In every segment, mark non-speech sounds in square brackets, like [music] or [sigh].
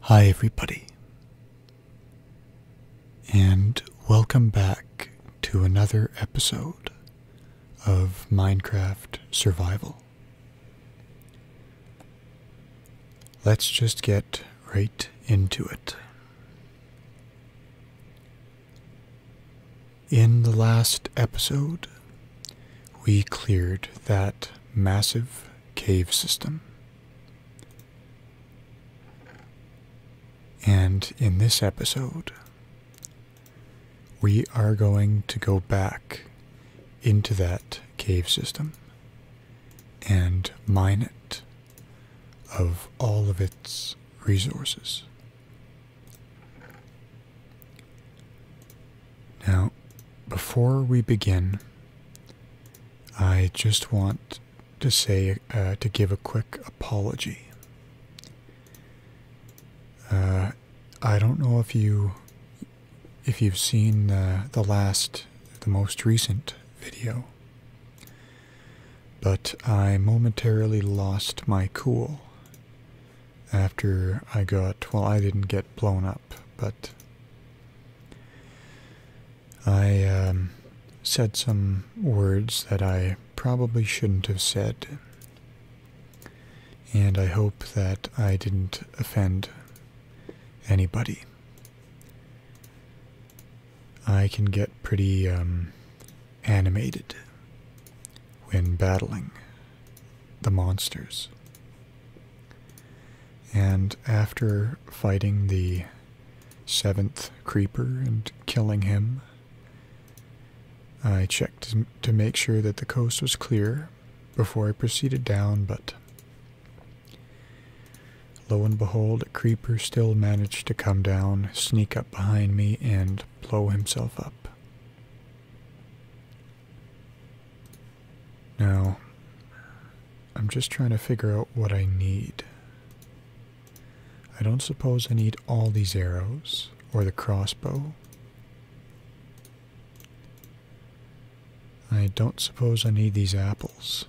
Hi, everybody, and welcome back to another episode of Minecraft Survival. Let's just get right into it. In the last episode, we cleared that massive cave system. And in this episode, we are going to go back into that cave system and mine it of all of its resources. Now, before we begin, I just want to say, uh, to give a quick apology. Uh, I don't know if you, if you've seen uh, the last, the most recent video, but I momentarily lost my cool after I got, well, I didn't get blown up, but I um, said some words that I probably shouldn't have said, and I hope that I didn't offend anybody. I can get pretty um, animated when battling the monsters. And after fighting the seventh creeper and killing him, I checked to make sure that the coast was clear before I proceeded down, but lo and behold, a creeper still managed to come down, sneak up behind me, and blow himself up. Now, I'm just trying to figure out what I need. I don't suppose I need all these arrows or the crossbow. I don't suppose I need these apples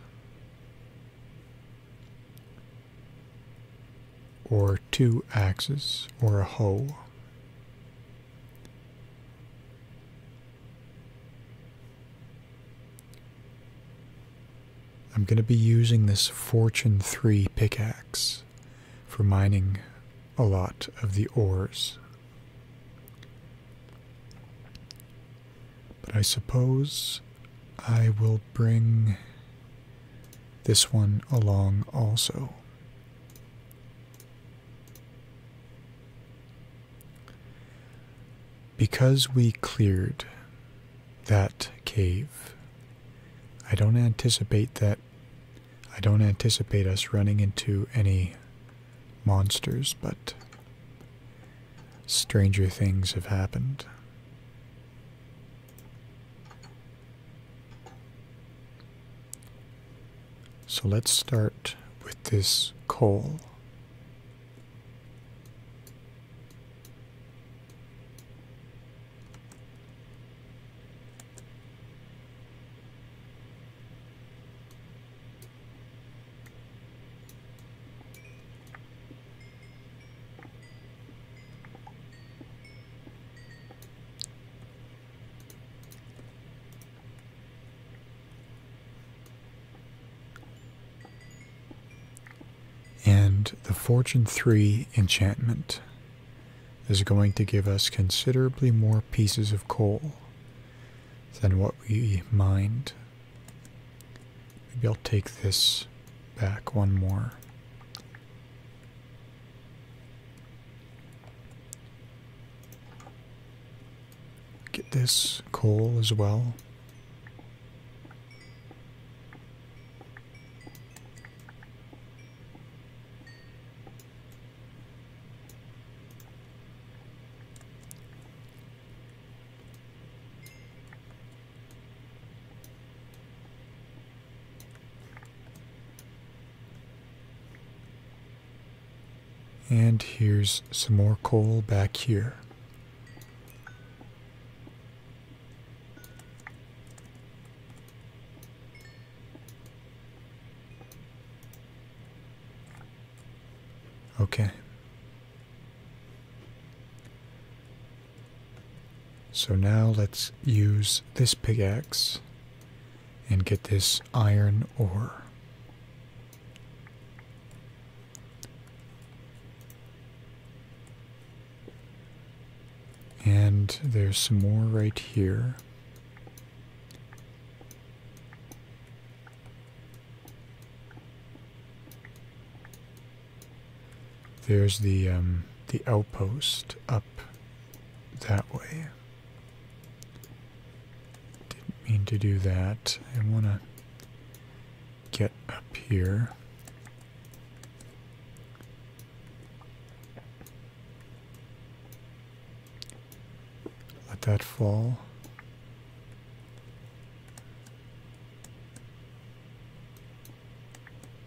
or two axes or a hoe. I'm going to be using this Fortune 3 pickaxe for mining a lot of the ores. But I suppose I will bring this one along also. Because we cleared that cave, I don't anticipate that. I don't anticipate us running into any monsters, but stranger things have happened. So let's start with this coal. And the Fortune 3 enchantment is going to give us considerably more pieces of coal than what we mined. Maybe I'll take this back one more. Get this call as well. And here's some more coal back here. Okay. So now let's use this pickaxe and get this iron ore. And there's some more right here. There's the um, the outpost up that way. Didn't mean to do that. I want to get up here. Let that fall.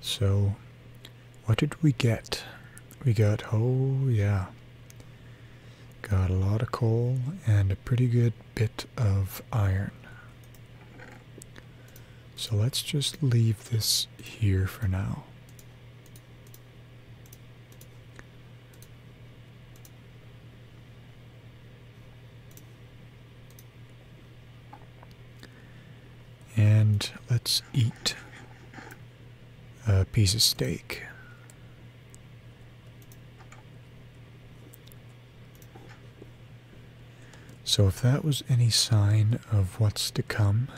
So, what did we get? We got, oh yeah, got a lot of coal and a pretty good bit of iron. So let's just leave this here for now. And let's eat a piece of steak. So, if that was any sign of what's to come,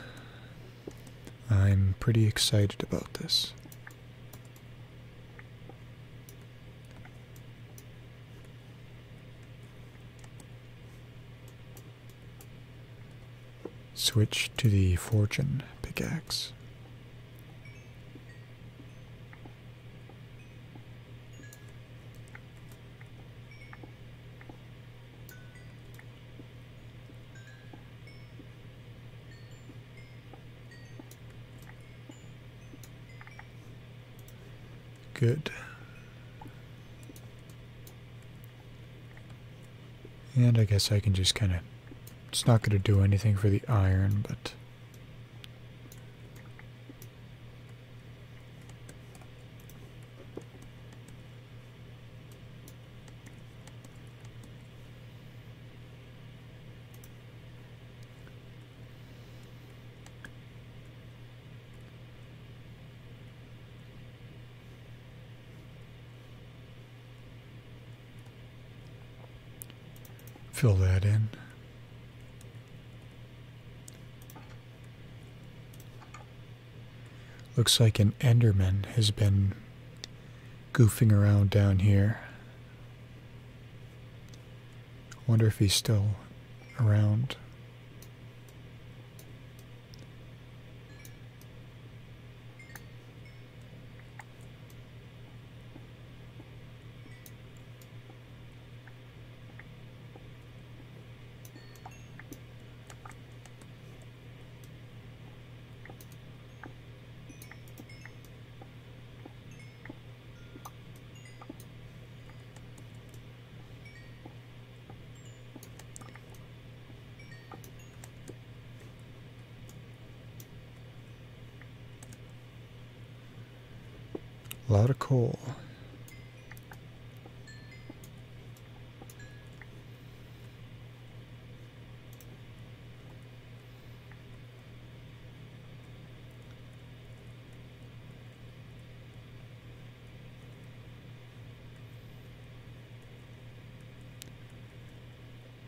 I'm pretty excited about this. Switch to the fortune pickaxe. Good. And I guess I can just kind of... It's not going to do anything for the iron, but... Fill that in. Looks like an Enderman has been goofing around down here. I wonder if he's still around. A lot of coal.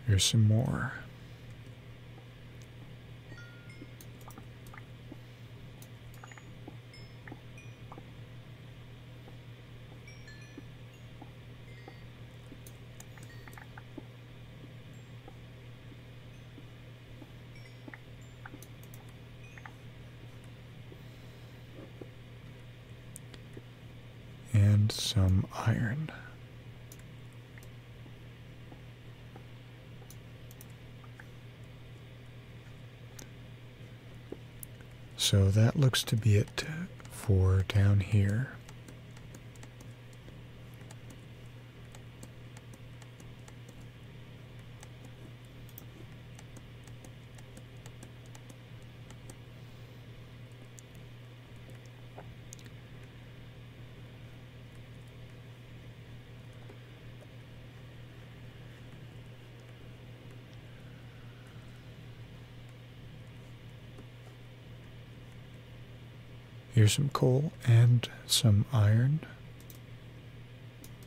Here's some more and some iron. So that looks to be it for down here. Here's some coal and some iron.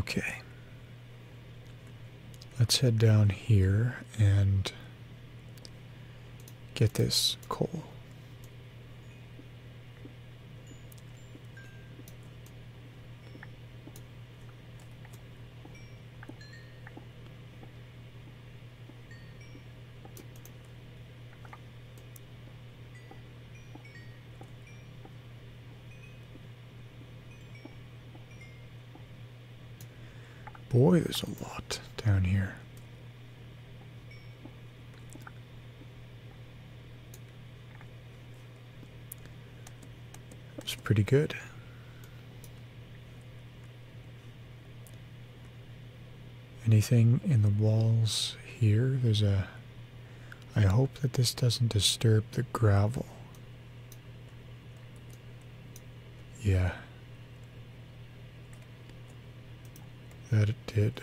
Okay. Let's head down here and get this coal. Boy, there's a lot down here. That's pretty good. Anything in the walls here? There's a I hope that this doesn't disturb the gravel. Yeah. That it did.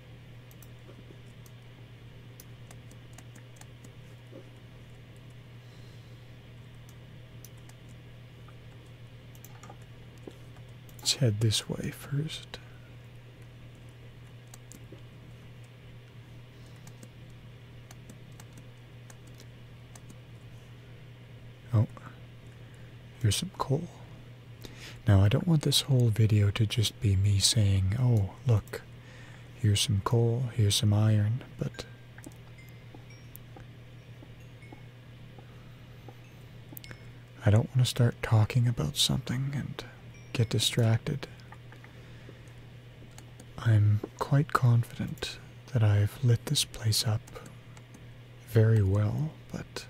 Let's head this way first. Oh, here's some coal. Now, I don't want this whole video to just be me saying, oh, look, here's some coal, here's some iron, but. I don't want to start talking about something and get distracted. I'm quite confident that I've lit this place up very well, but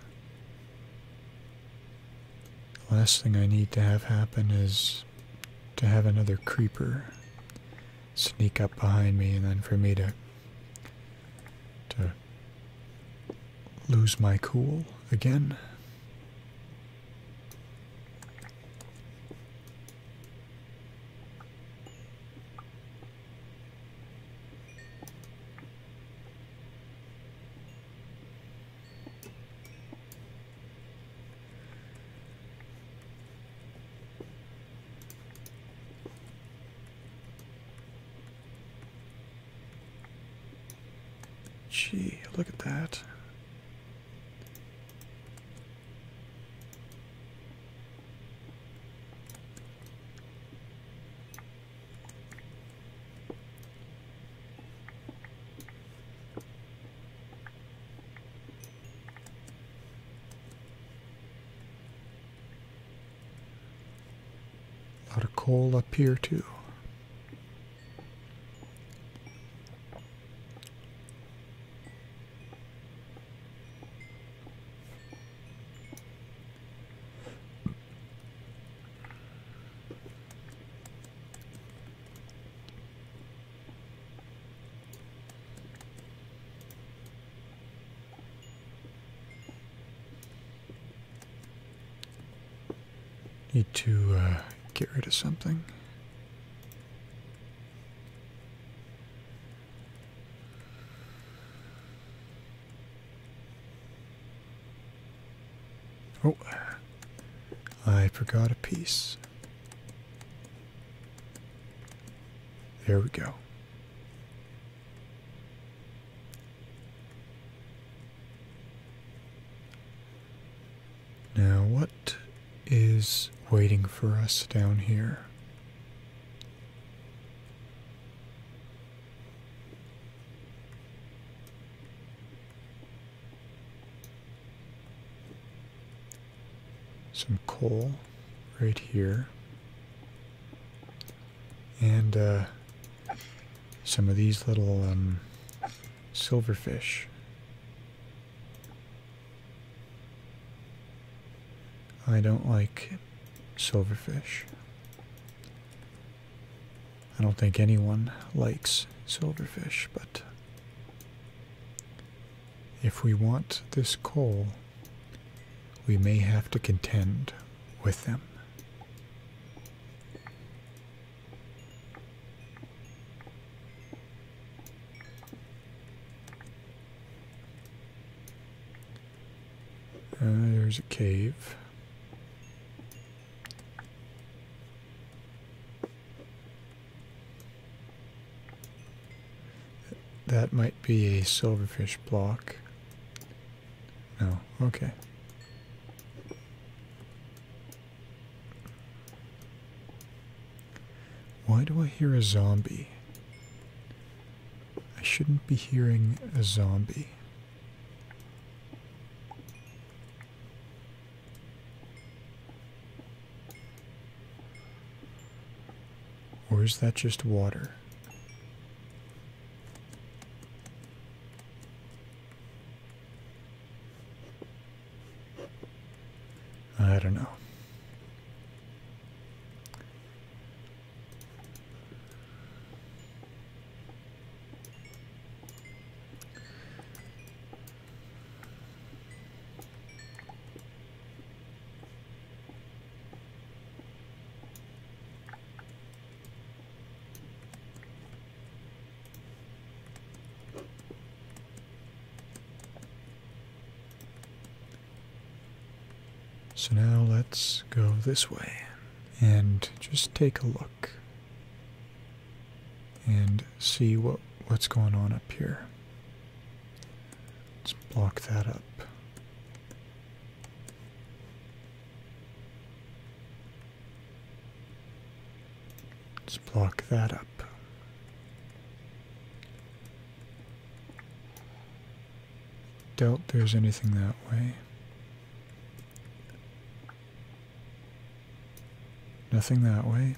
the last thing I need to have happen is to have another creeper sneak up behind me and then for me to to lose my cool again. Gee, look at that. A lot of coal up here too. Need to uh, get rid of something. Oh, I forgot a piece. There we go. Now, what is waiting for us down here? some coal right here and uh, some of these little um, silverfish. I don't like silverfish. I don't think anyone likes silverfish, but if we want this coal, we may have to contend with them. Uh, there's a cave. That might be a silverfish block. No, okay. Why do I hear a zombie? I shouldn't be hearing a zombie. Or is that just water? I don't know. So now let's go this way and just take a look and see what what's going on up here. Let's block that up. Let's block that up. Doubt there's anything that way. Nothing that way.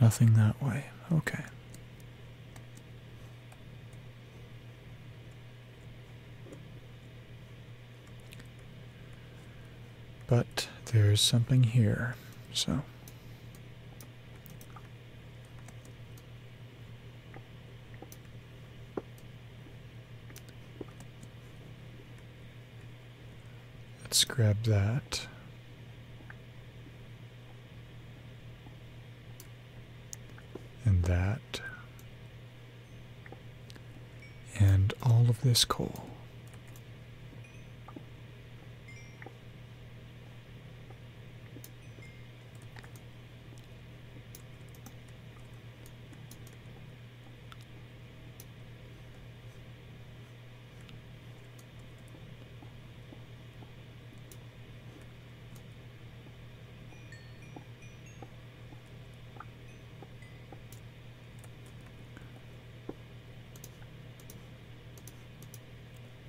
Nothing that way. Okay. But there's something here, so. Let's grab that. And that. And all of this coal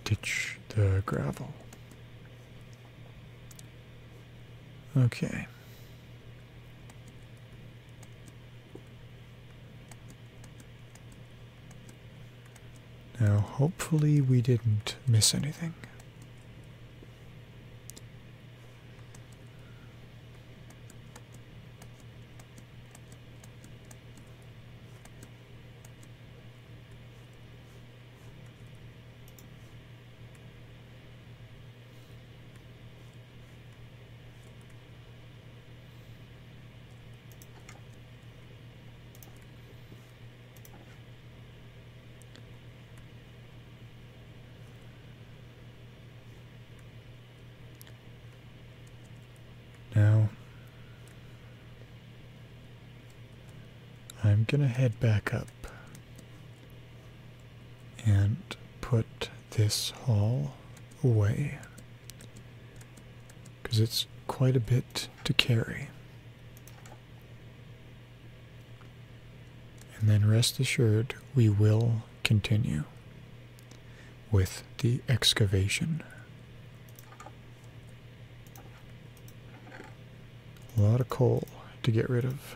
ditch the gravel. Okay. Now, hopefully we didn't miss anything. Now, I'm going to head back up and put this haul away because it's quite a bit to carry. And then rest assured, we will continue with the excavation. A lot of coal to get rid of.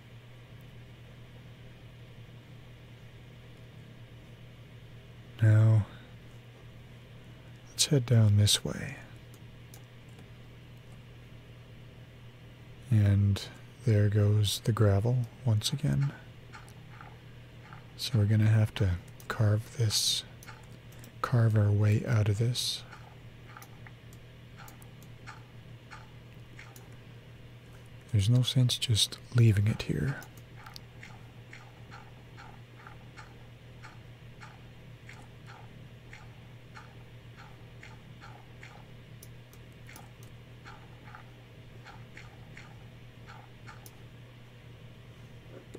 Now, let's head down this way. And there goes the gravel once again. So we're going to have to carve this, carve our way out of this. There's no sense just leaving it here.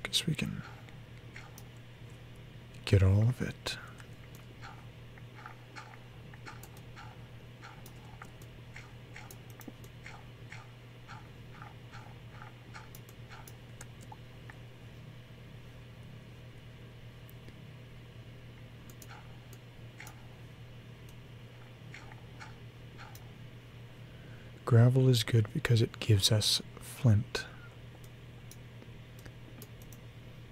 Guess we can get all of it. Gravel is good because it gives us flint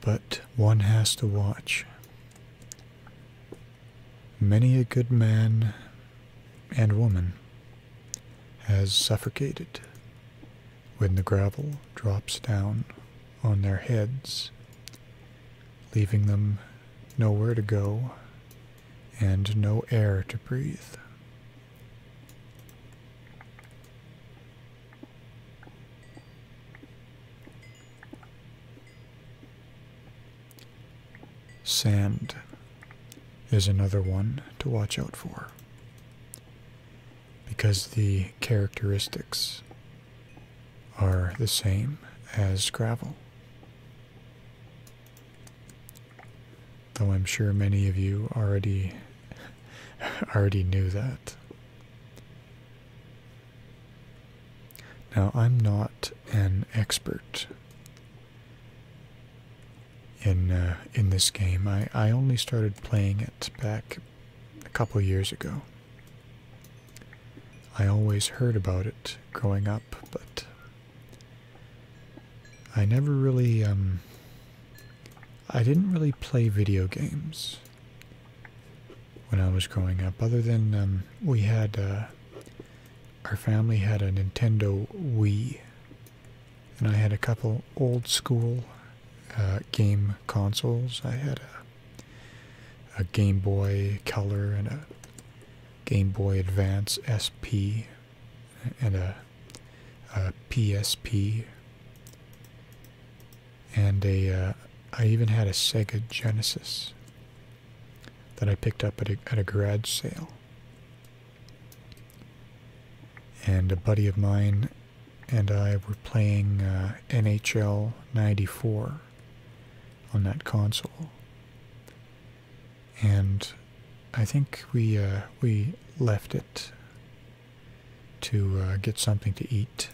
but one has to watch. Many a good man and woman has suffocated when the gravel drops down on their heads, leaving them nowhere to go and no air to breathe. Sand is another one to watch out for because the characteristics are the same as gravel. Though I'm sure many of you already [laughs] already knew that. Now, I'm not an expert in uh, in this game. I, I only started playing it back a couple years ago. I always heard about it growing up, but I never really, um, I didn't really play video games when I was growing up. Other than um, we had, uh, our family had a Nintendo Wii, and I had a couple old school uh, game consoles. I had a, Game Boy Color and a Game Boy Advance SP and a PSP and a uh, I even had a Sega Genesis that I picked up at a, at garage sale. And a buddy of mine and I were playing uh, NHL 94 on that console. And I think we uh, we left it to get something to eat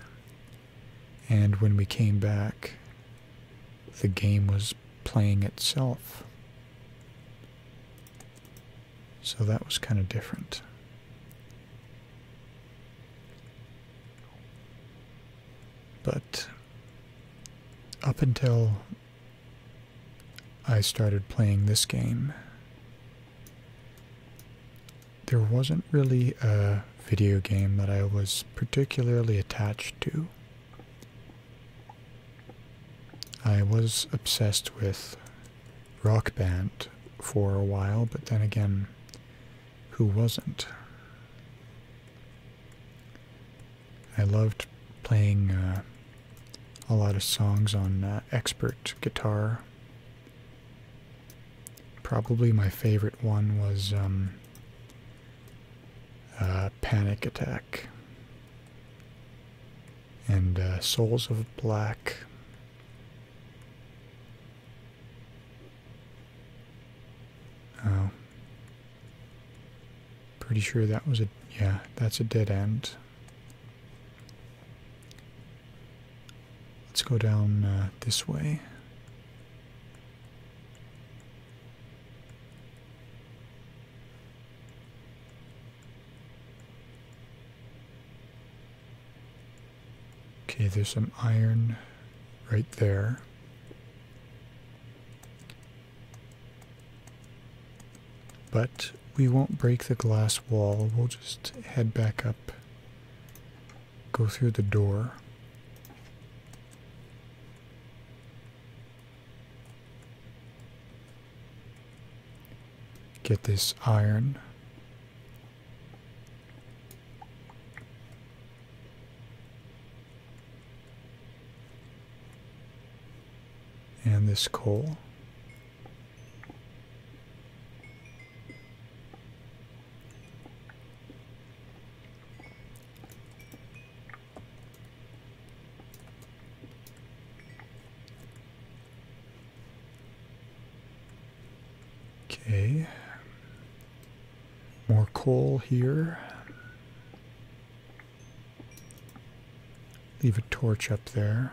and when we came back, the game was playing itself. So that was kind of different. But up until I started playing this game, there wasn't really a video game that I was particularly attached to. I was obsessed with Rock Band for a while, but then again, who wasn't? I loved playing uh, a lot of songs on uh, expert guitar Probably my favorite one was um, Panic Attack and uh, Souls of Black. Oh. Pretty sure that was a. Yeah, that's a dead end. Let's go down uh, this way. Okay, there's some iron right there. But we won't break the glass wall. We'll just head back up go through the door. Get this iron. And this coal. Okay. More coal here. Leave a torch up there.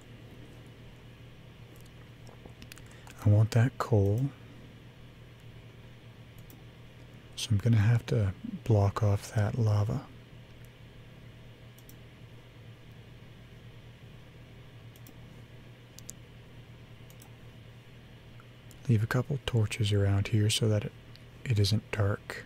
I want that coal. So I'm going to have to block off that lava. Leave a couple torches around here so that it, it isn't dark.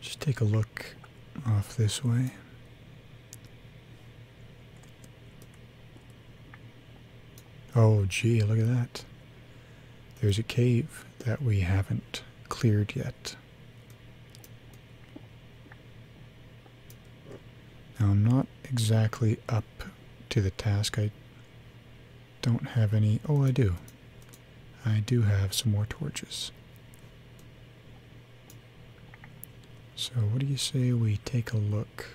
Just take a look off this way. Oh, gee, look at that. There's a cave that we haven't cleared yet. Now, I'm not exactly up to the task. I don't have any. Oh, I do. I do have some more torches. So, what do you say we take a look?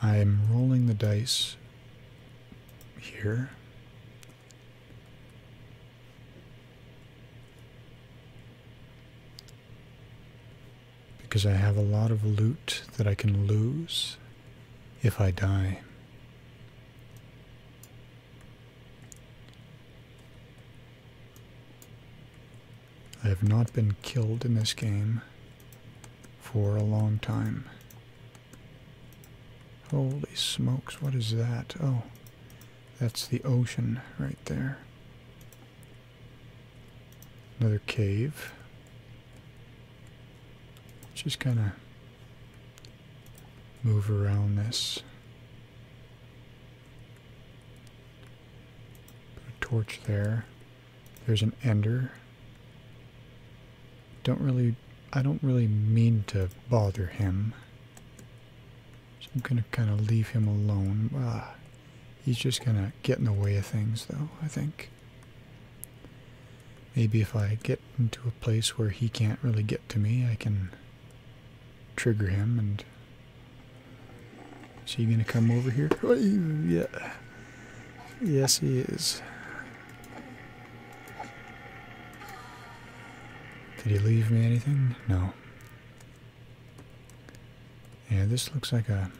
I'm rolling the dice here. Because I have a lot of loot that I can lose if I die. I have not been killed in this game for a long time. Holy smokes, what is that? Oh, that's the ocean right there. Another cave. Just kind of move around this. Put a torch there. There's an ender. Don't really, I don't really mean to bother him. I'm going to kind of leave him alone. Uh, he's just going to get in the way of things, though, I think. Maybe if I get into a place where he can't really get to me, I can trigger him and... Is he going to come over here? Oh, yeah. Yes, he is. Did he leave me anything? No. Yeah, this looks like a...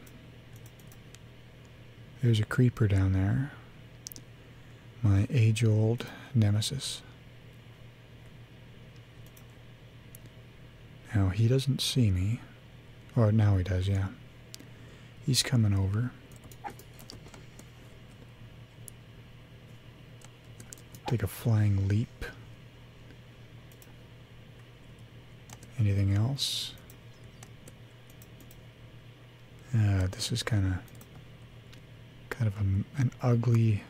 There's a creeper down there. My age-old nemesis. Now, he doesn't see me. Or oh, now he does, yeah. He's coming over. Take a flying leap. Anything else? Uh, this is kind of kind of an ugly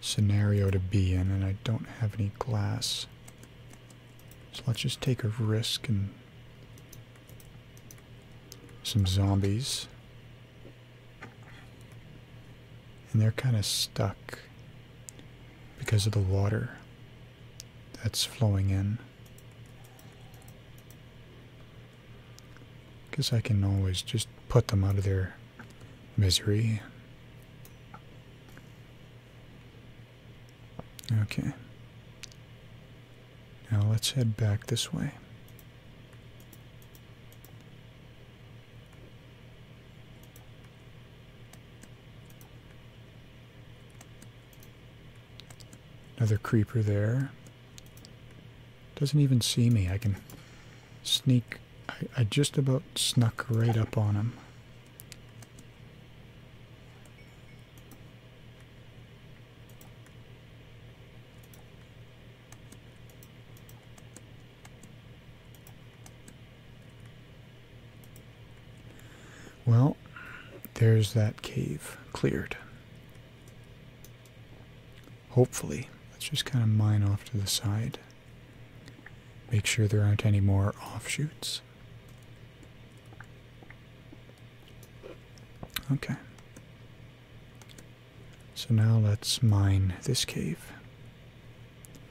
scenario to be in, and I don't have any glass. So let's just take a risk and some zombies. And they're kind of stuck because of the water that's flowing in. Guess I can always just put them out of their misery. Okay. Now let's head back this way. Another creeper there. Doesn't even see me. I can sneak. I, just about snuck right up on him. Well, there's that cave cleared. Hopefully. Let's just kind of mine off to the side. Make sure there aren't any more offshoots. Okay. So now let's mine this cave.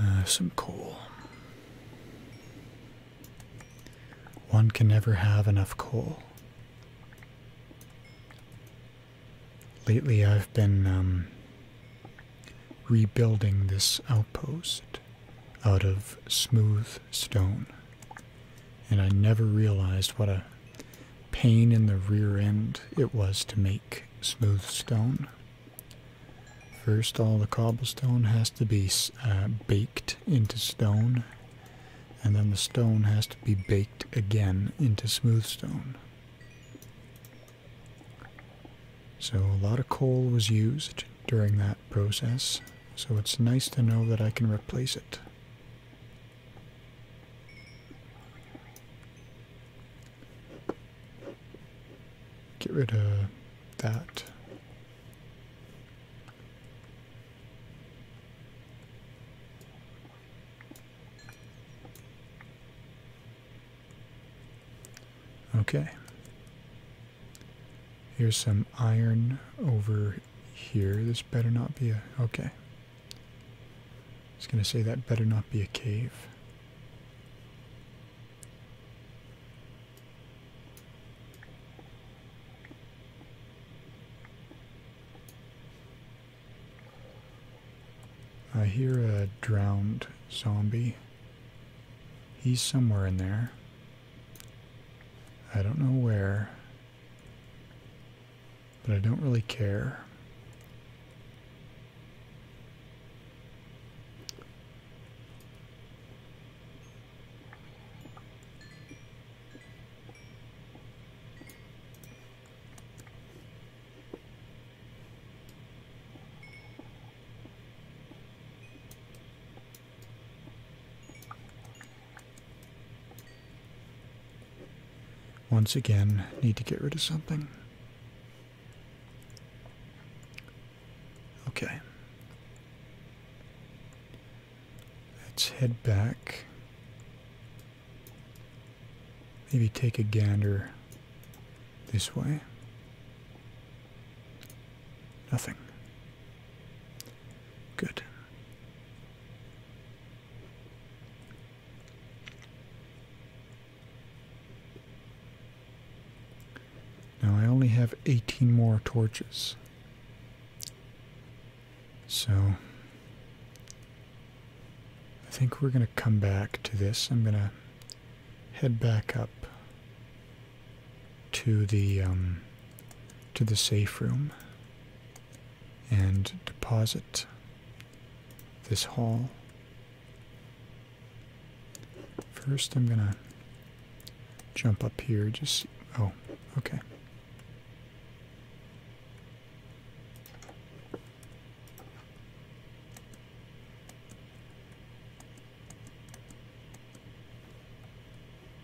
Uh, some coal. One can never have enough coal. Lately, I've been um, rebuilding this outpost out of smooth stone. And I never realized what a pain in the rear end it was to make smooth stone. First, all the cobblestone has to be uh, baked into stone, and then the stone has to be baked again into smooth stone. So, a lot of coal was used during that process, so it's nice to know that I can replace it. Get rid of that. Okay. Here's some iron over here. This better not be a. Okay. I was going to say that better not be a cave. I hear a drowned zombie. He's somewhere in there. I don't know where, but I don't really care. Once again, need to get rid of something. Okay. Let's head back. Maybe take a gander this way. Nothing. Good. Now I only have 18 more torches. So I think we're going to come back to this. I'm going to head back up to the um, to the safe room and deposit this haul. First, I'm gonna jump up here. Just oh, okay.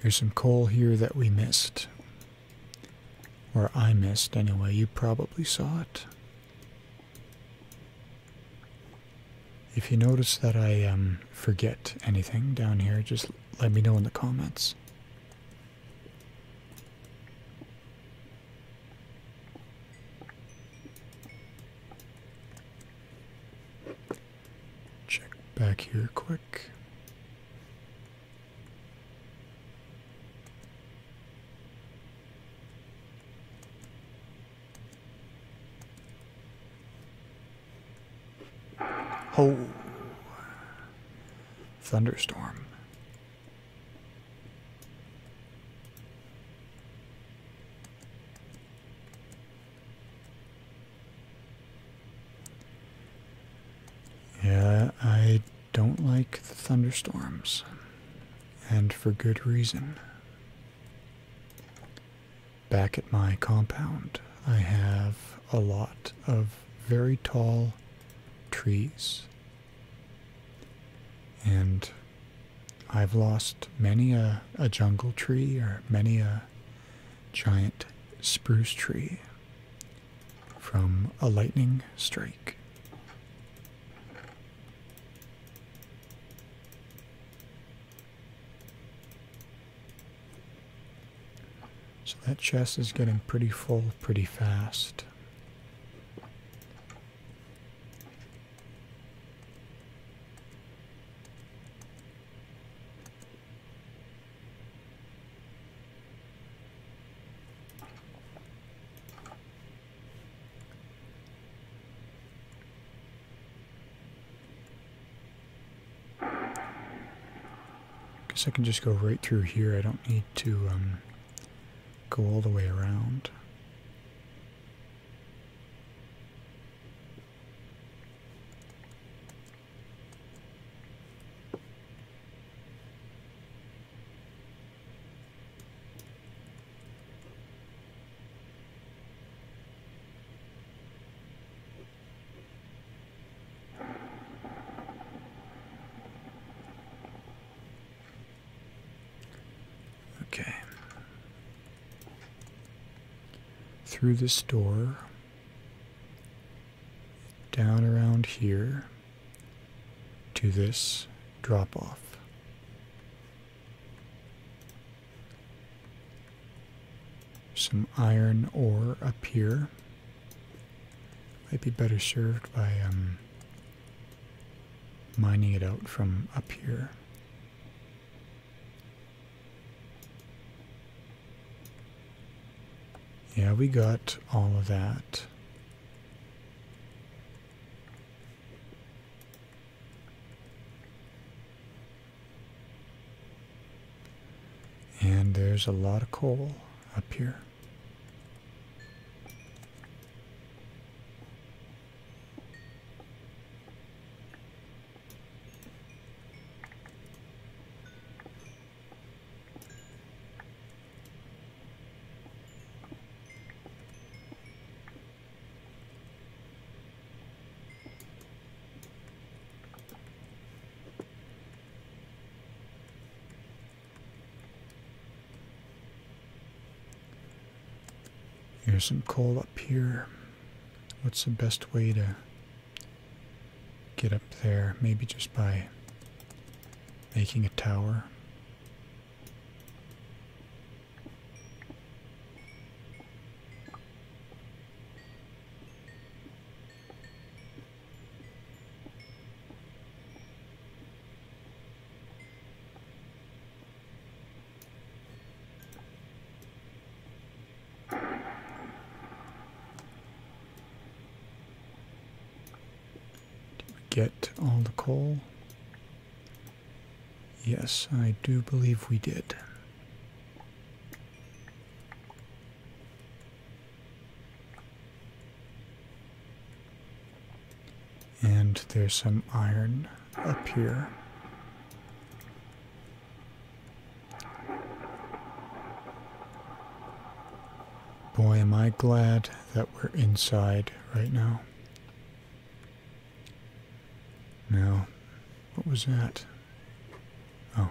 There's some coal here that we missed. Or I missed anyway. You probably saw it. If you notice that I um, forget anything down here, just let me know in the comments. Check back here quick. Oh, thunderstorm. Yeah, I don't like the thunderstorms. And for good reason. Back at my compound, I have a lot of very tall trees. And I've lost many a, a jungle tree or many a giant spruce tree from a lightning strike. So that chest is getting pretty full pretty fast. I Guess I can just go right through here. I don't need to um, go all the way around. Okay. Through this door, down around here to this drop off. Some iron ore up here. Might be better served by um, mining it out from up here. Yeah, we got all of that. And there's a lot of coal up here. Here's some coal up here. What's the best way to get up there, maybe just by making a tower. Did we get all the coal? Yes, I do believe we did. And there's some iron up here. Boy, am I glad that we're inside right now. Now, what was that? Oh.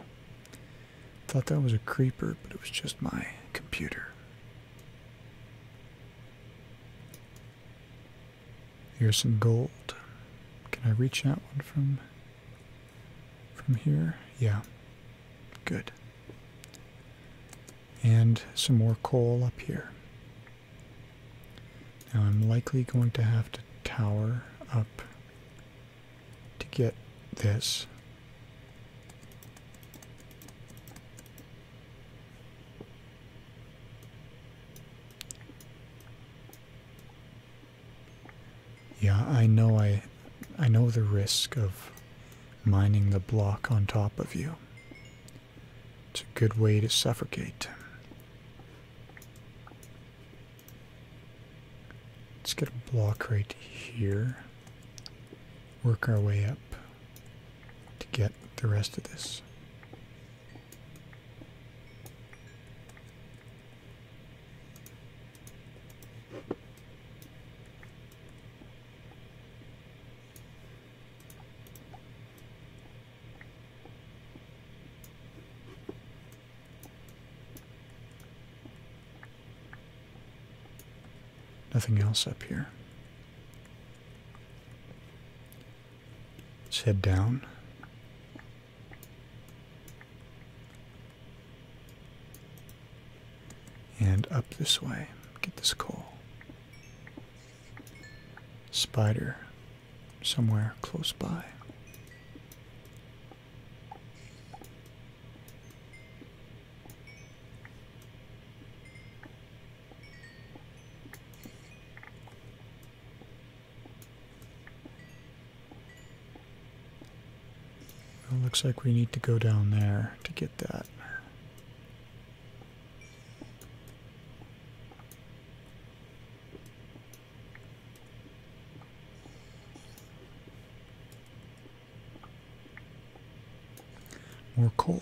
Thought that was a creeper, but it was just my computer. Here's some gold. Can I reach that one from from here? Yeah. Good. And some more coal up here. Now I'm likely going to have to tower up to get this. Yeah, I know I I know the risk of mining the block on top of you. It's a good way to suffocate. Let's get a block right here. Work our way up to get the rest of this. Nothing else up here. Let's head down. And up this way. Get this coal. Spider somewhere close by. Well, looks like we need to go down there to get that. More coal.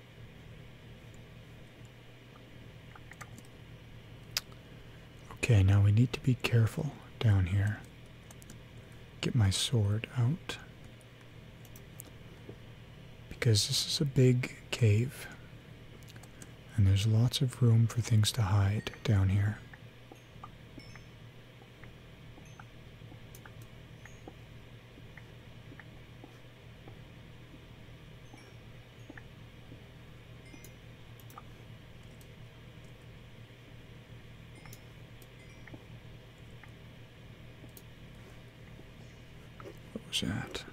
Okay, now we need to be careful down here. Get my sword out. Because this is a big cave. And there's lots of room for things to hide down here. What was that?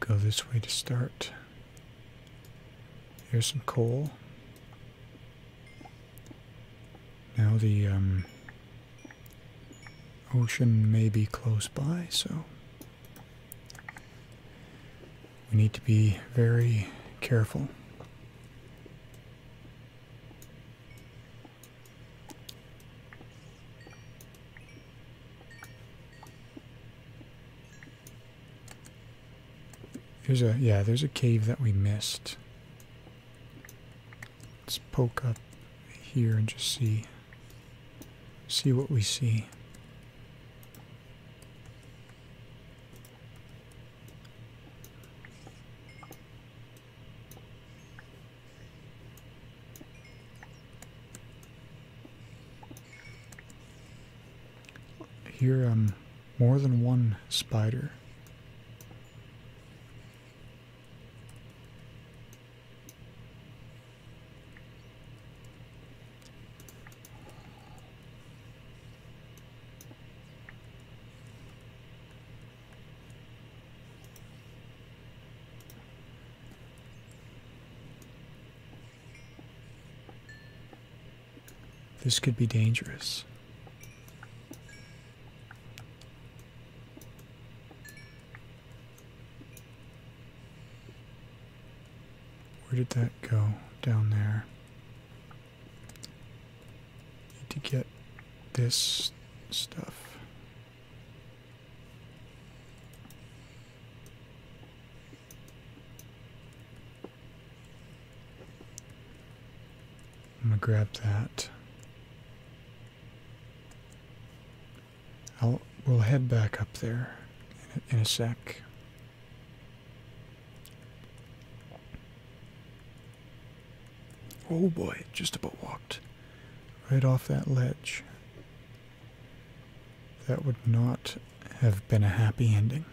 Go this way to start. Here's some coal. Now the um, ocean may be close by, so we need to be very careful. There's a, yeah, there's a cave that we missed. Let's poke up here and just see, see what we see. Here, I'm um, more than one spider. This could be dangerous. Where did that go? Down there. Need to get this stuff. I'm gonna grab that. I'll we'll head back up there in a, in a sec. Oh boy, just about walked right off that ledge. That would not have been a happy ending.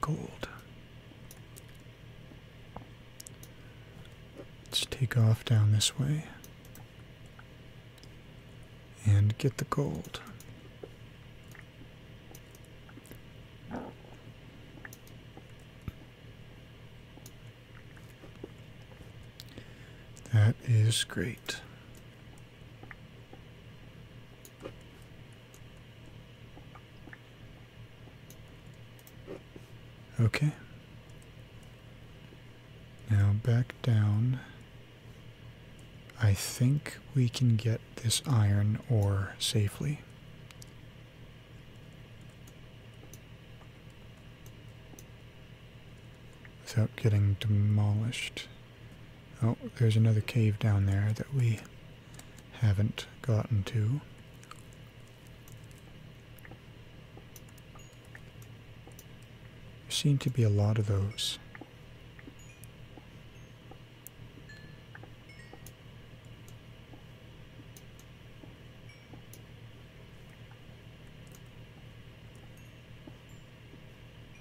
Gold. Let's take off down this way and get the gold. That is great. Okay. Now back down. I think we can get this iron ore safely. Without getting demolished. Oh, there's another cave down there that we haven't gotten to. There seem to be a lot of those.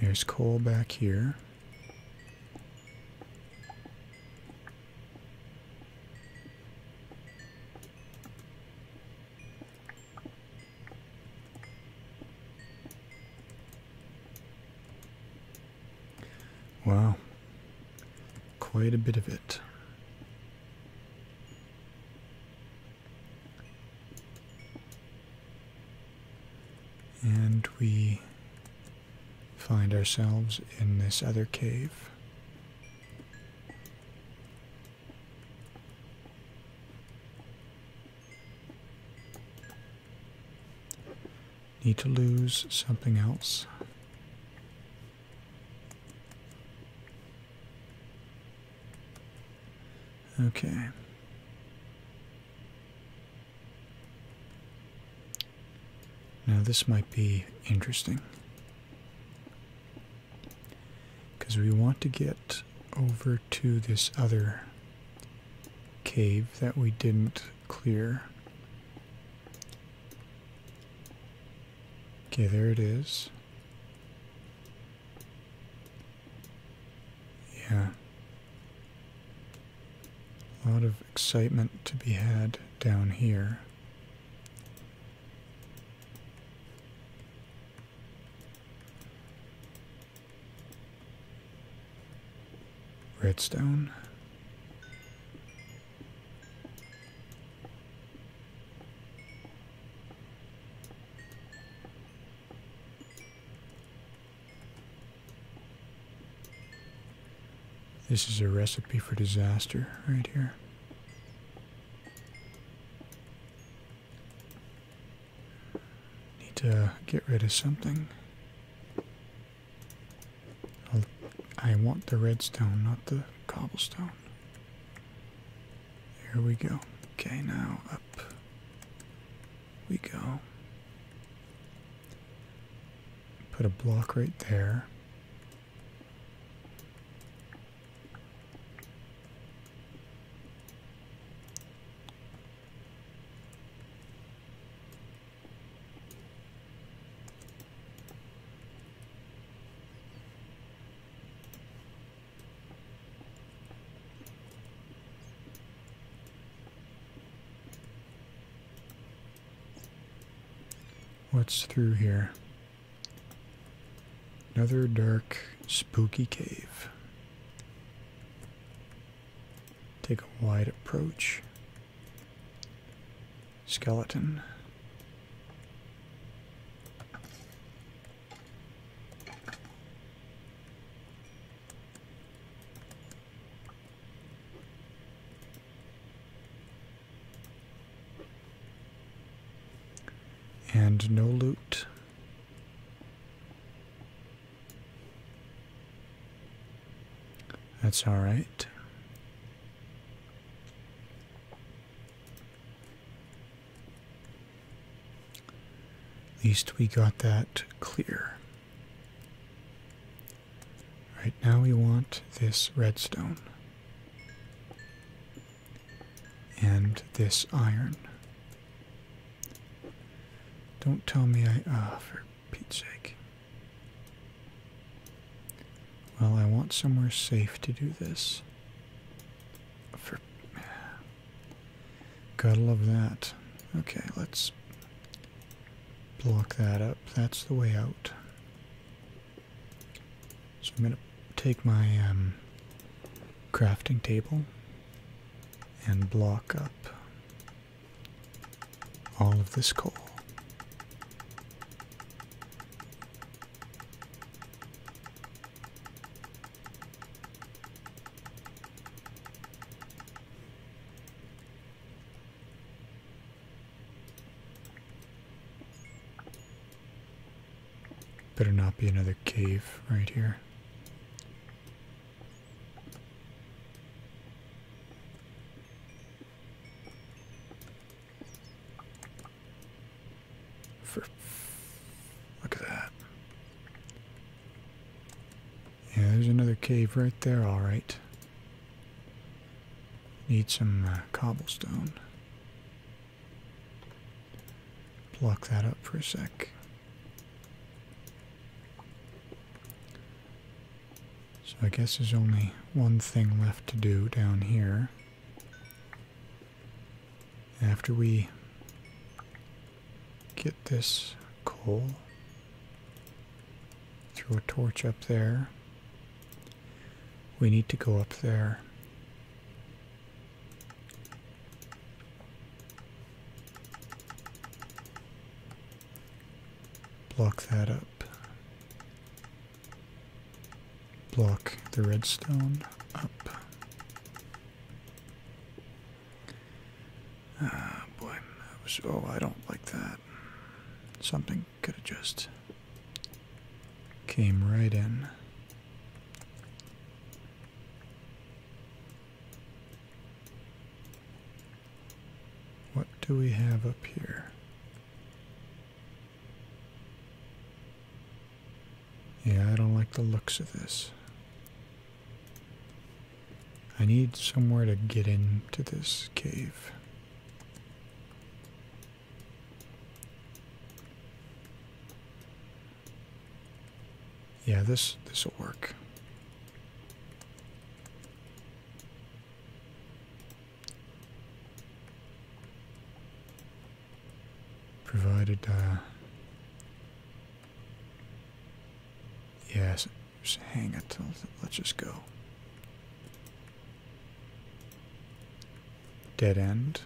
There's coal back here. Wow. Quite a bit of it. And we find ourselves in this other cave. Need to lose something else. Okay. Now this might be interesting. Because we want to get over to this other cave that we didn't clear. Okay, there it is. Yeah. A lot of excitement to be had down here. Redstone. This is a recipe for disaster right here. Need to get rid of something. i want the redstone, not the cobblestone. Here we go. Okay, now up we go. Put a block right there. What's through here? Another dark, spooky cave. Take a wide approach. Skeleton. And no loot. That's all right. At least we got that clear. Right now we want this redstone and this iron. Don't tell me I offer uh, Well, I want somewhere safe to do this. For gotta love that. Okay, let's block that up. That's the way out. So I'm gonna take my um, crafting table and block up all of this coal. Better not be another cave right here look at that. Yeah, there's another cave right there, all right. Need some uh, cobblestone. Block that up for a sec. So I guess there's only one thing left to do down here. After we get this coal, throw a torch up there. We need to go up there. Block that up. Block the redstone up. Ah, boy. oh, I don't like that. Something could have just came right in. What do we have up here? Yeah, I don't like the looks of this. I need somewhere to get into this cave. Yeah, this this will work. Provided, uh, yes, hang it. Let's just go. Dead end.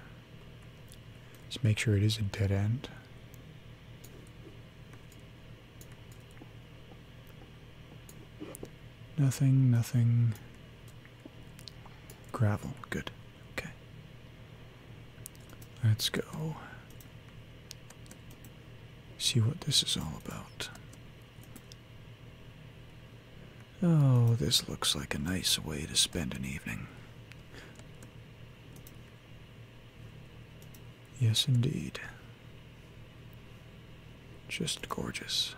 Just make sure it is a dead end. Nothing, nothing. Gravel, good. Okay. Let's go. See what this is all about. Oh, this looks like a nice way to spend an evening. Yes, indeed. Just gorgeous.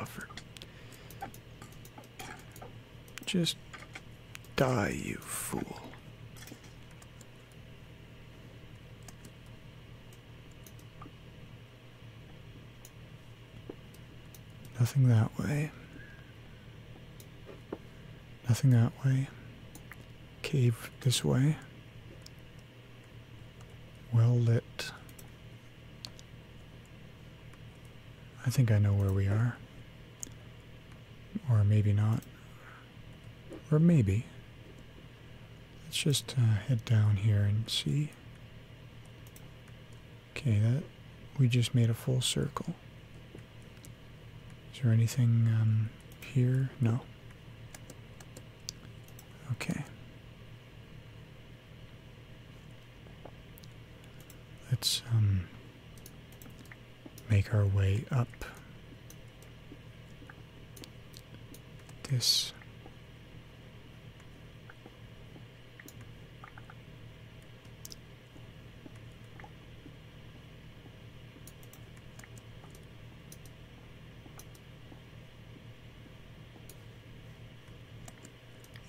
Offer. Just die, you fool. Nothing that way. Nothing that way. Cave this way. Well lit. I think I know where we are. Or maybe not. Or maybe. Let's just uh, head down here and see. Okay, that we just made a full circle. Is there anything um, here? No. Okay. Let's um, make our way up this.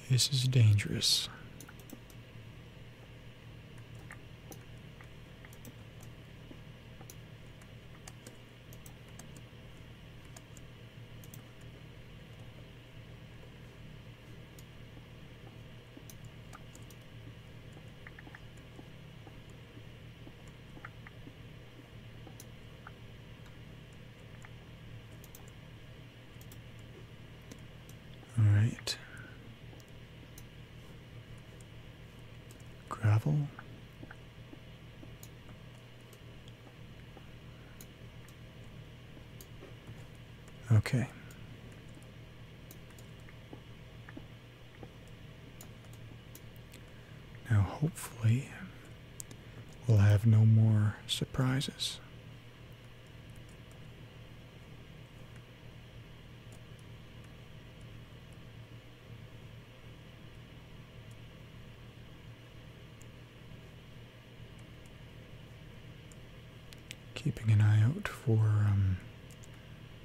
This is dangerous. All right. Gravel. Okay. Now, hopefully, we'll have no more surprises. Keeping an eye out for um,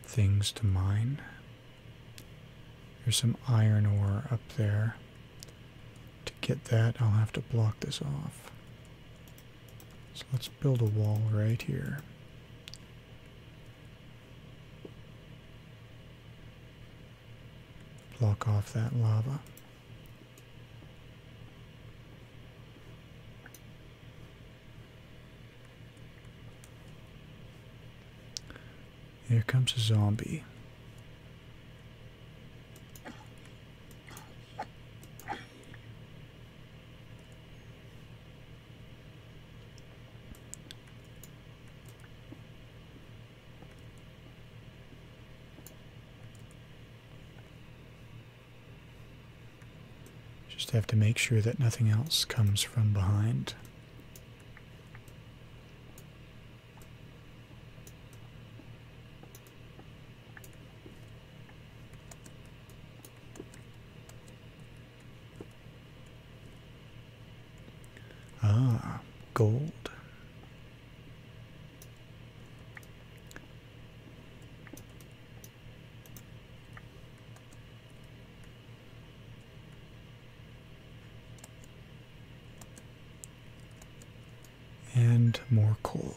things to mine. There's some iron ore up there. To get that, I'll have to block this off. So let's build a wall right here. Block off that lava. Here comes a zombie. Just have to make sure that nothing else comes from behind. Ah, gold. And more coal.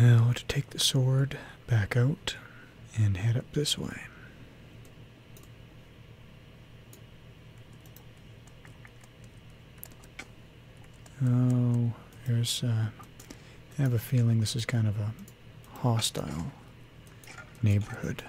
Now to take the sword back out and head up this way. Oh, there's. Uh, I have a feeling this is kind of a hostile neighborhood.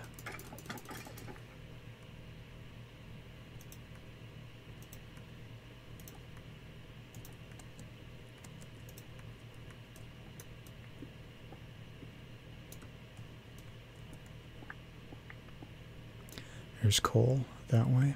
There's coal that way.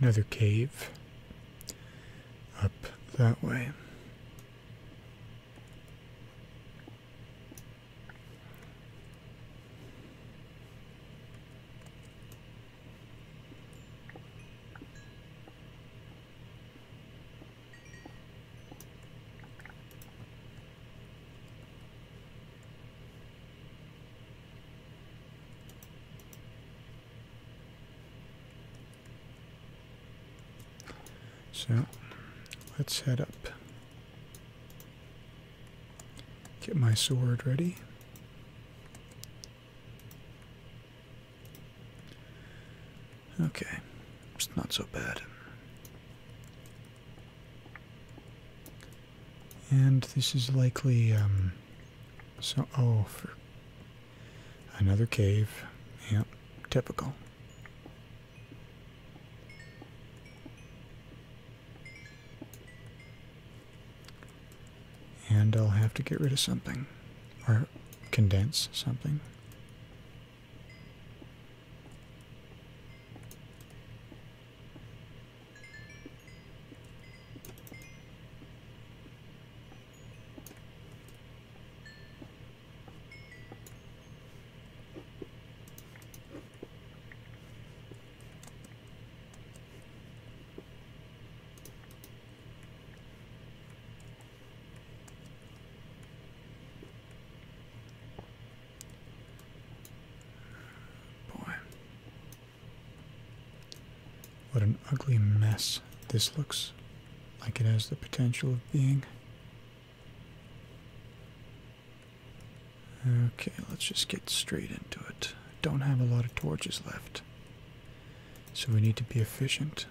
Another cave up that way. So let's head up. Get my sword ready. Okay, it's not so bad. And this is likely, um, so, oh, for another cave. Yep, typical. And I'll have to get rid of something, or condense something. Boy. What an ugly mess this looks like it has the potential of being. Okay, let's just get straight into it. Don't have a lot of torches left. So we need to be efficient.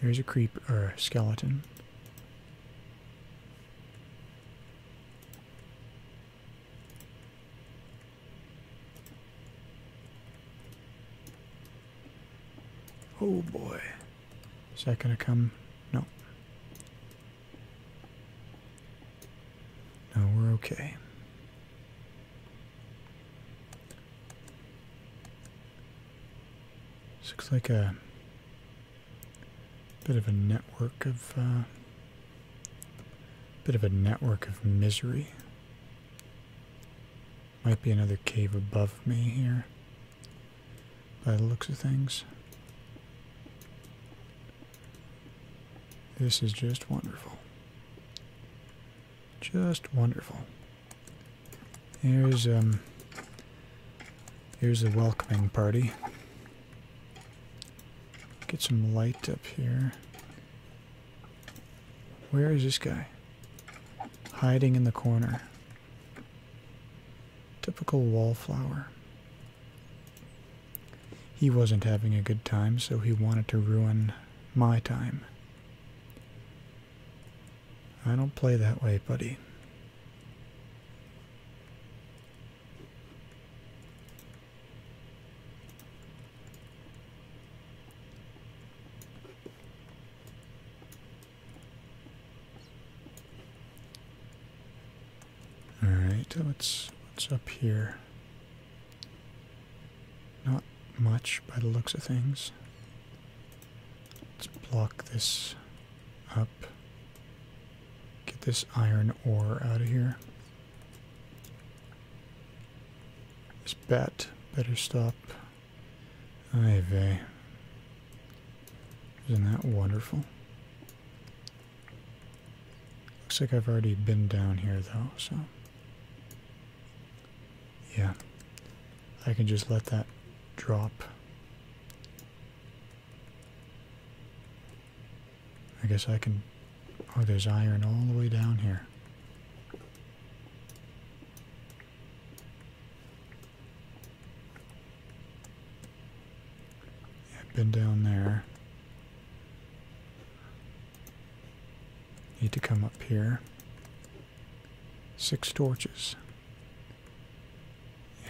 Here's a creep or a skeleton. Oh boy. Is that gonna come? No. No, we're okay. This looks like a bit of a network of uh, bit of a network of misery. Might be another cave above me here by the looks of things. This is just wonderful. Just wonderful. Here's um here's a welcoming party. Get some light up here. Where is this guy? Hiding in the corner. Typical wallflower. He wasn't having a good time, so he wanted to ruin my time. I don't play that way, buddy. All right, what's what's up here? Not much by the looks of things. Let's block this up. Get this iron ore out of here. This bat better stop. Ay vey. Isn't that wonderful? Looks like I've already been down here though, so. Yeah. I can just let that drop. I guess I can... Oh, there's iron all the way down here. Yeah, I've been down there. Need to come up here. Six torches.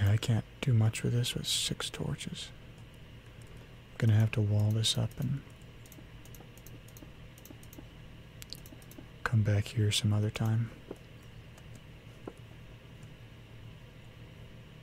Yeah, I can't do much with this with six torches. gonna have to wall this up and come back here some other time.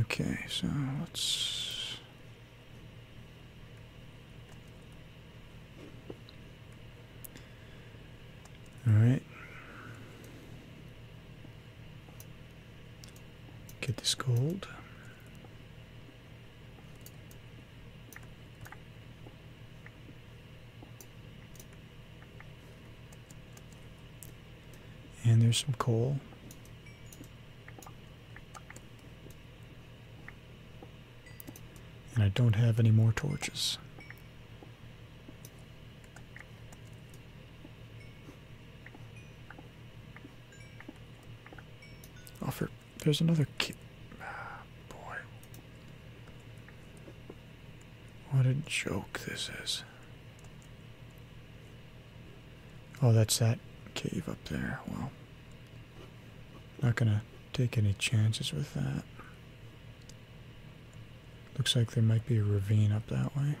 Okay, so let's... All right. Get this gold. And there's some coal. And I don't have any more torches. Oh, there's another kid. Ah, boy. What a joke this is. Oh, that's that cave up there. Well, not gonna take any chances with that. Looks like there might be a ravine up that way.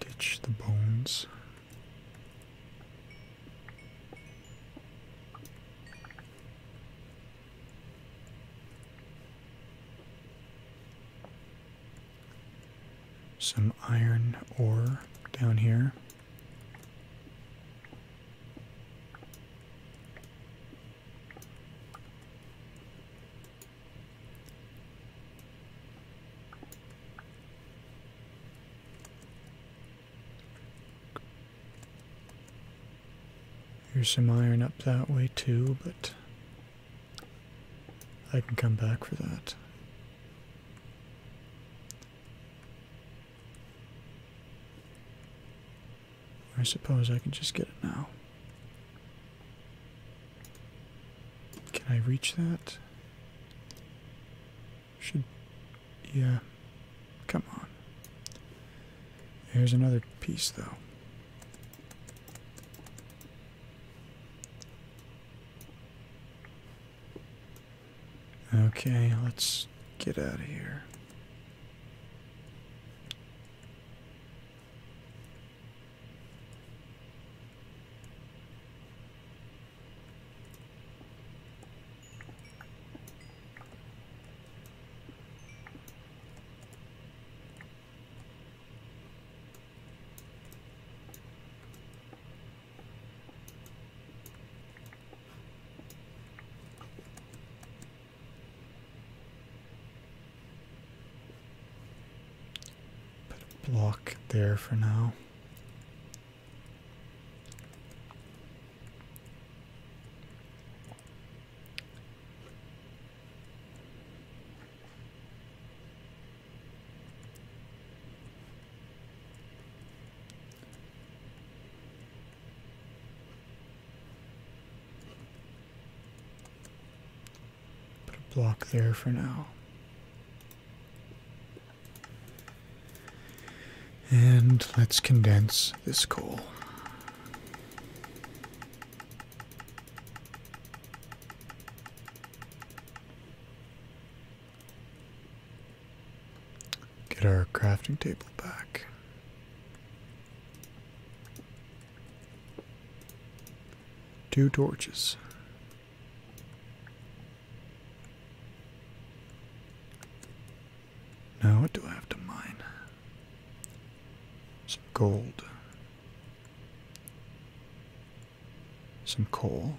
Ditch the bones. Some iron ore down here. There's some iron up that way too, but I can come back for that. I suppose I can just get it now. Can I reach that? Should, yeah, come on. Here's another piece, though. Okay, let's get out of here. Put a block there for now. Put a block there for now. And let's condense this coal. Get our crafting table back. Two torches. Now, what do I have to mine? Some gold. Some coal.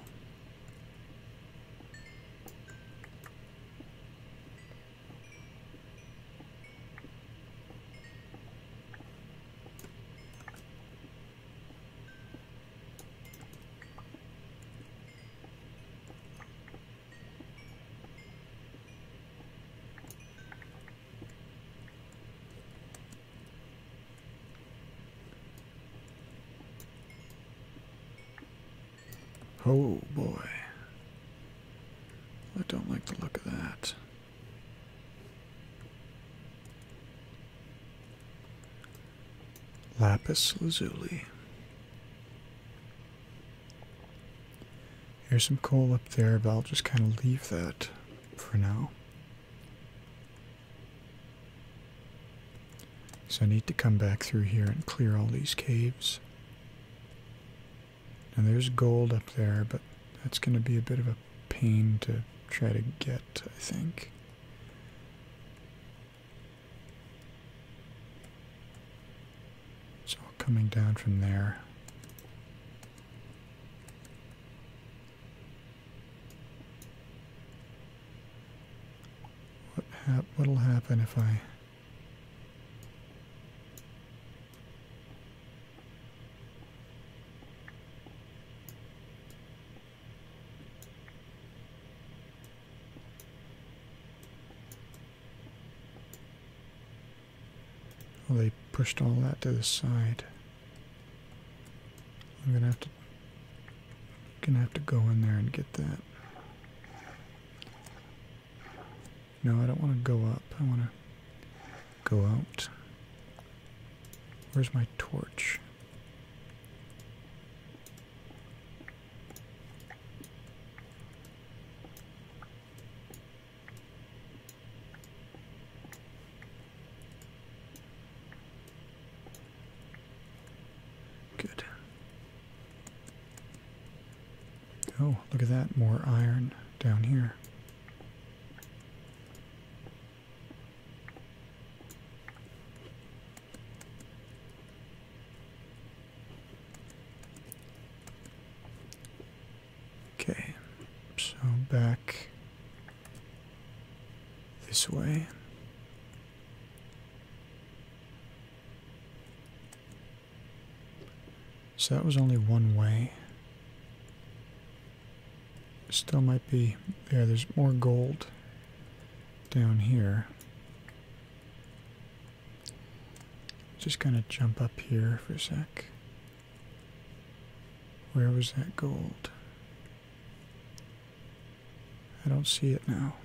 Oh boy. I don't like the look of that lapis lazuli. Here's some coal up there, but I'll just kind of leave that for now. So I need to come back through here and clear all these caves. And there's gold up there, but that's going to be a bit of a pain to try to get, I think. So coming down from there. What what'll happen if I well, they pushed all that to the side. I'm gonna have to gonna have to go in there and get that. No, I don't want to go up. I want to go out. Where's my torch? Good. Oh, look at that, more iron down here. Okay, so back this way. So that was only one way. Still might be, yeah, there's more gold down here. Just going to jump up here for a sec. Where was that gold? I don't see it now.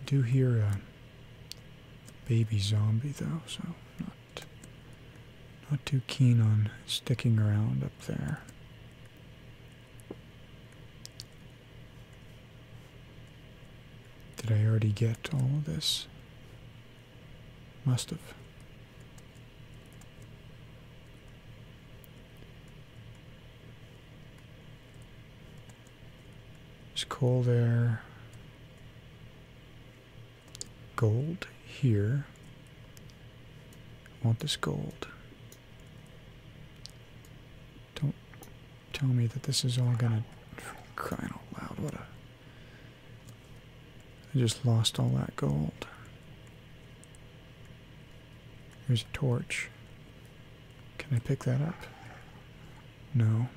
I do hear a baby zombie though, so not not too keen on sticking around up there. Did I already get all of this? Must have. There's coal there. Gold here. want this gold. Don't tell me that this is all gonna crying out loud. What a I just lost all that gold. There's a torch. Can I pick that up? No.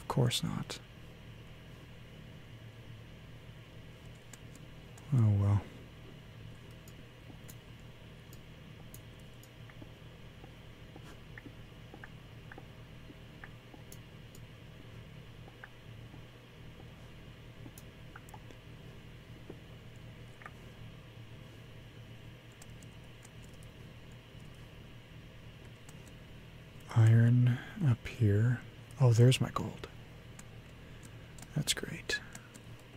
Of course not. Oh well. Iron up here. Oh, there's my gold. That's great.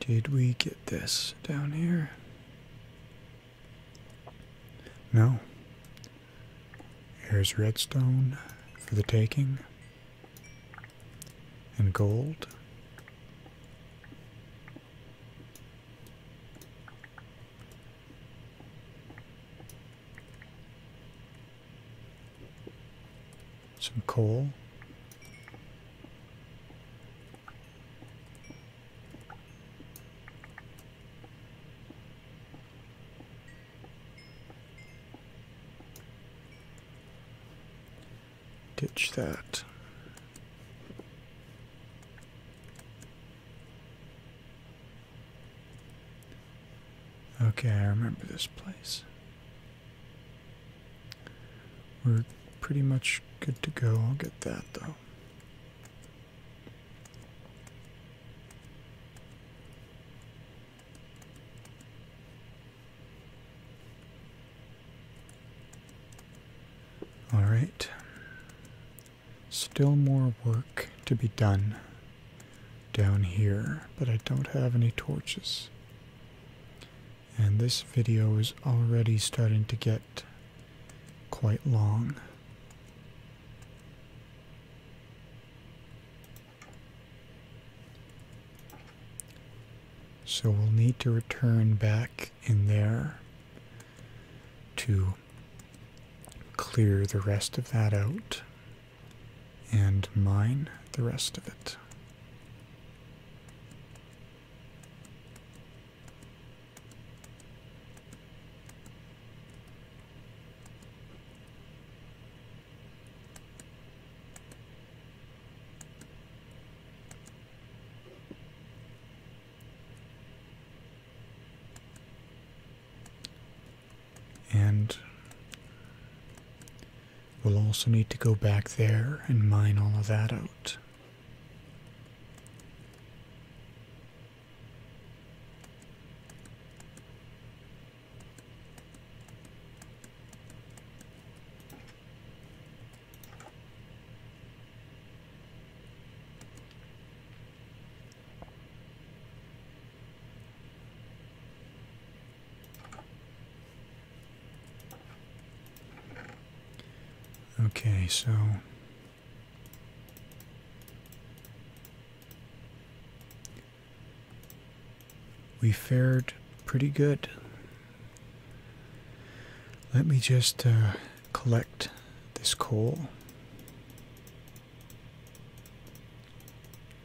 Did we get this down here? No. Here's redstone for the taking. And gold. Some coal. Ditch that. Okay, I remember this place. We're pretty much good to go. I'll get that though. All right. Still more work to be done down here, but I don't have any torches. And this video is already starting to get quite long. So we'll need to return back in there to clear the rest of that out and mine the rest of it. And we'll also need to go back there and mine all of that out. Okay, so we fared pretty good let me just uh, collect this coal,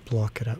block it up.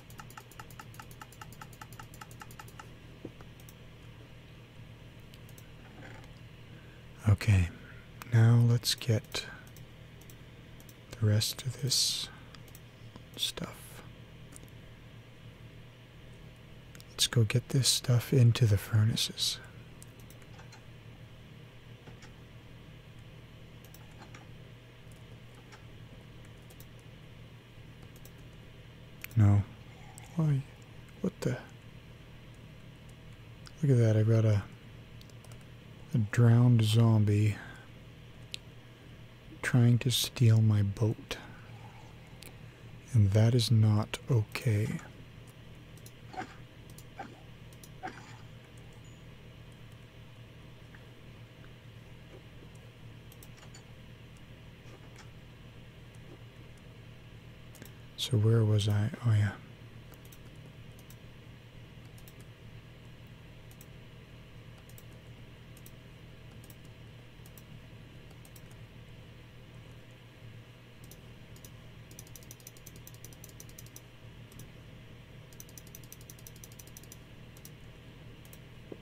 Okay, now let's get the rest of this stuff. Let's go get this stuff into the furnaces. No. Why? What the? Look at that. I've got a, a drowned zombie trying to steal my boat. And that is not okay. So where was I? Oh yeah.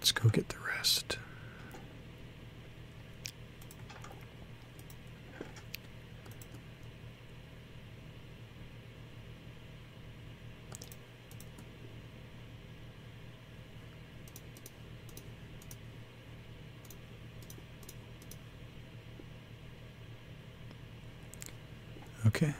Let's go get the rest. Okay.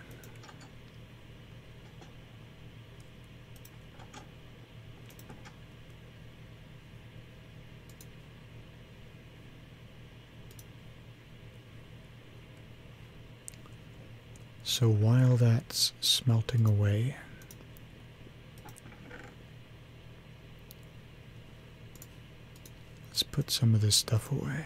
So while that's smelting away, let's put some of this stuff away.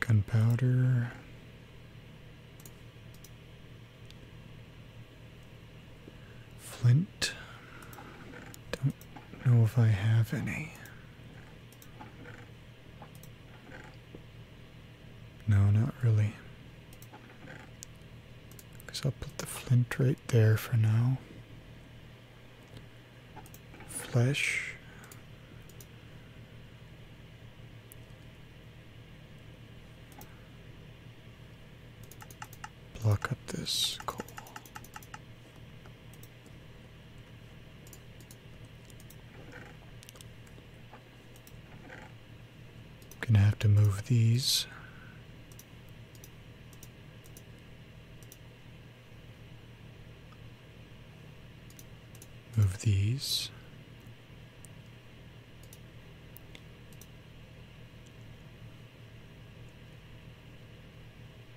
Gunpowder. Flint don't. know if I have any. No, not really. Because I'll put the flint right there for now. Flesh. Block up this coal. Gonna have to move these. Move these.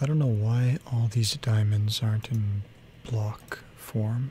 I don't know why all these diamonds aren't in block form.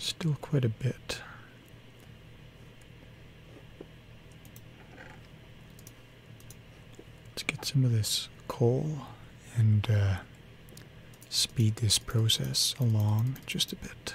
Still quite a bit. Let's get some of this coal and uh, speed this process along just a bit.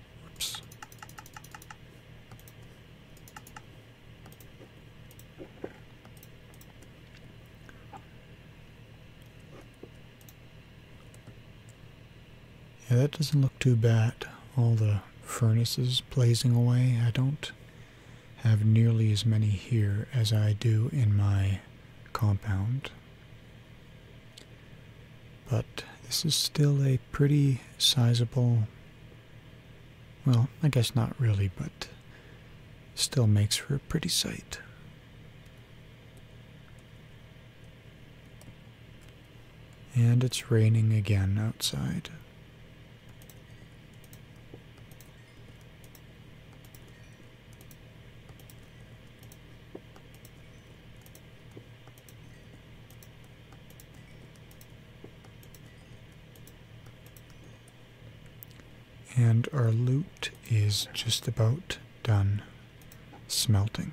Oops. Yeah, that doesn't look too bad. All the furnaces blazing away. I don't have nearly as many here as I do in my compound but this is still a pretty sizable, well, I guess not really, but still makes for a pretty sight. And it's raining again outside. And our loot is just about done smelting.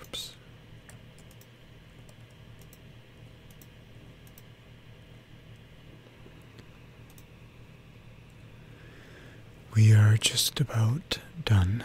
Oops. We are just about done.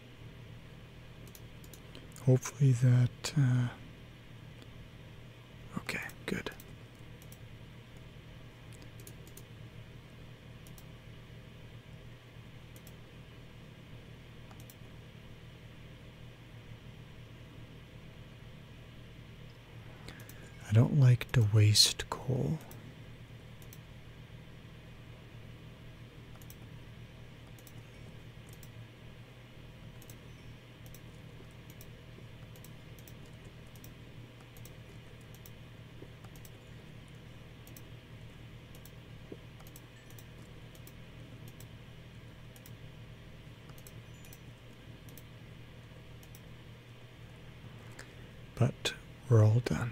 Hopefully that. Uh, okay, good. I don't like to waste coal. But we're all done.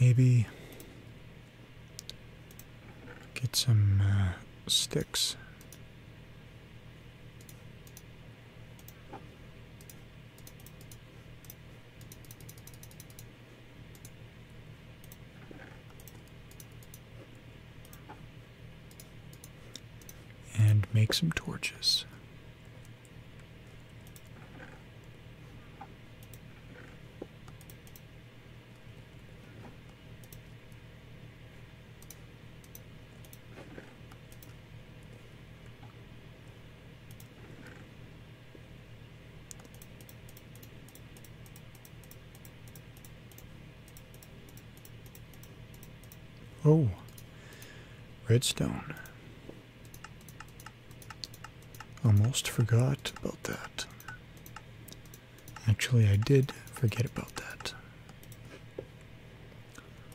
Maybe get some uh, sticks and make some torches. Oh, redstone. Almost forgot about that. Actually, I did forget about that.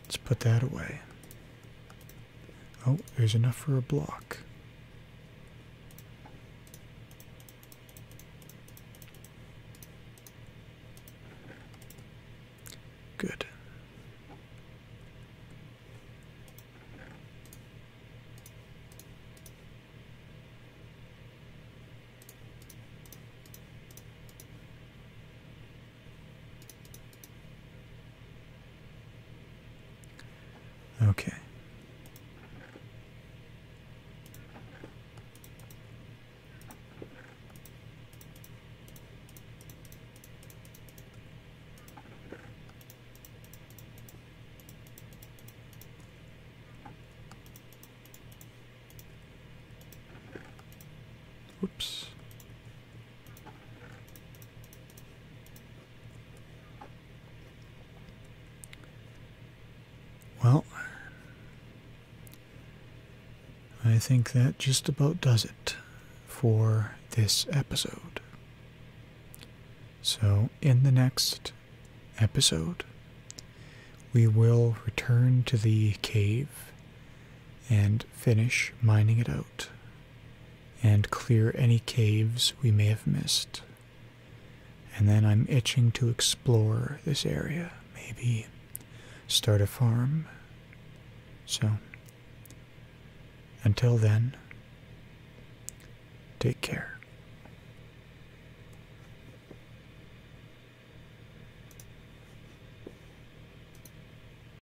Let's put that away. Oh, there's enough for a block. Good. Okay. Oops. Well, I think that just about does it for this episode. So, in the next episode, we will return to the cave and finish mining it out and clear any caves we may have missed. And then I'm itching to explore this area, maybe start a farm. So, until then, take care.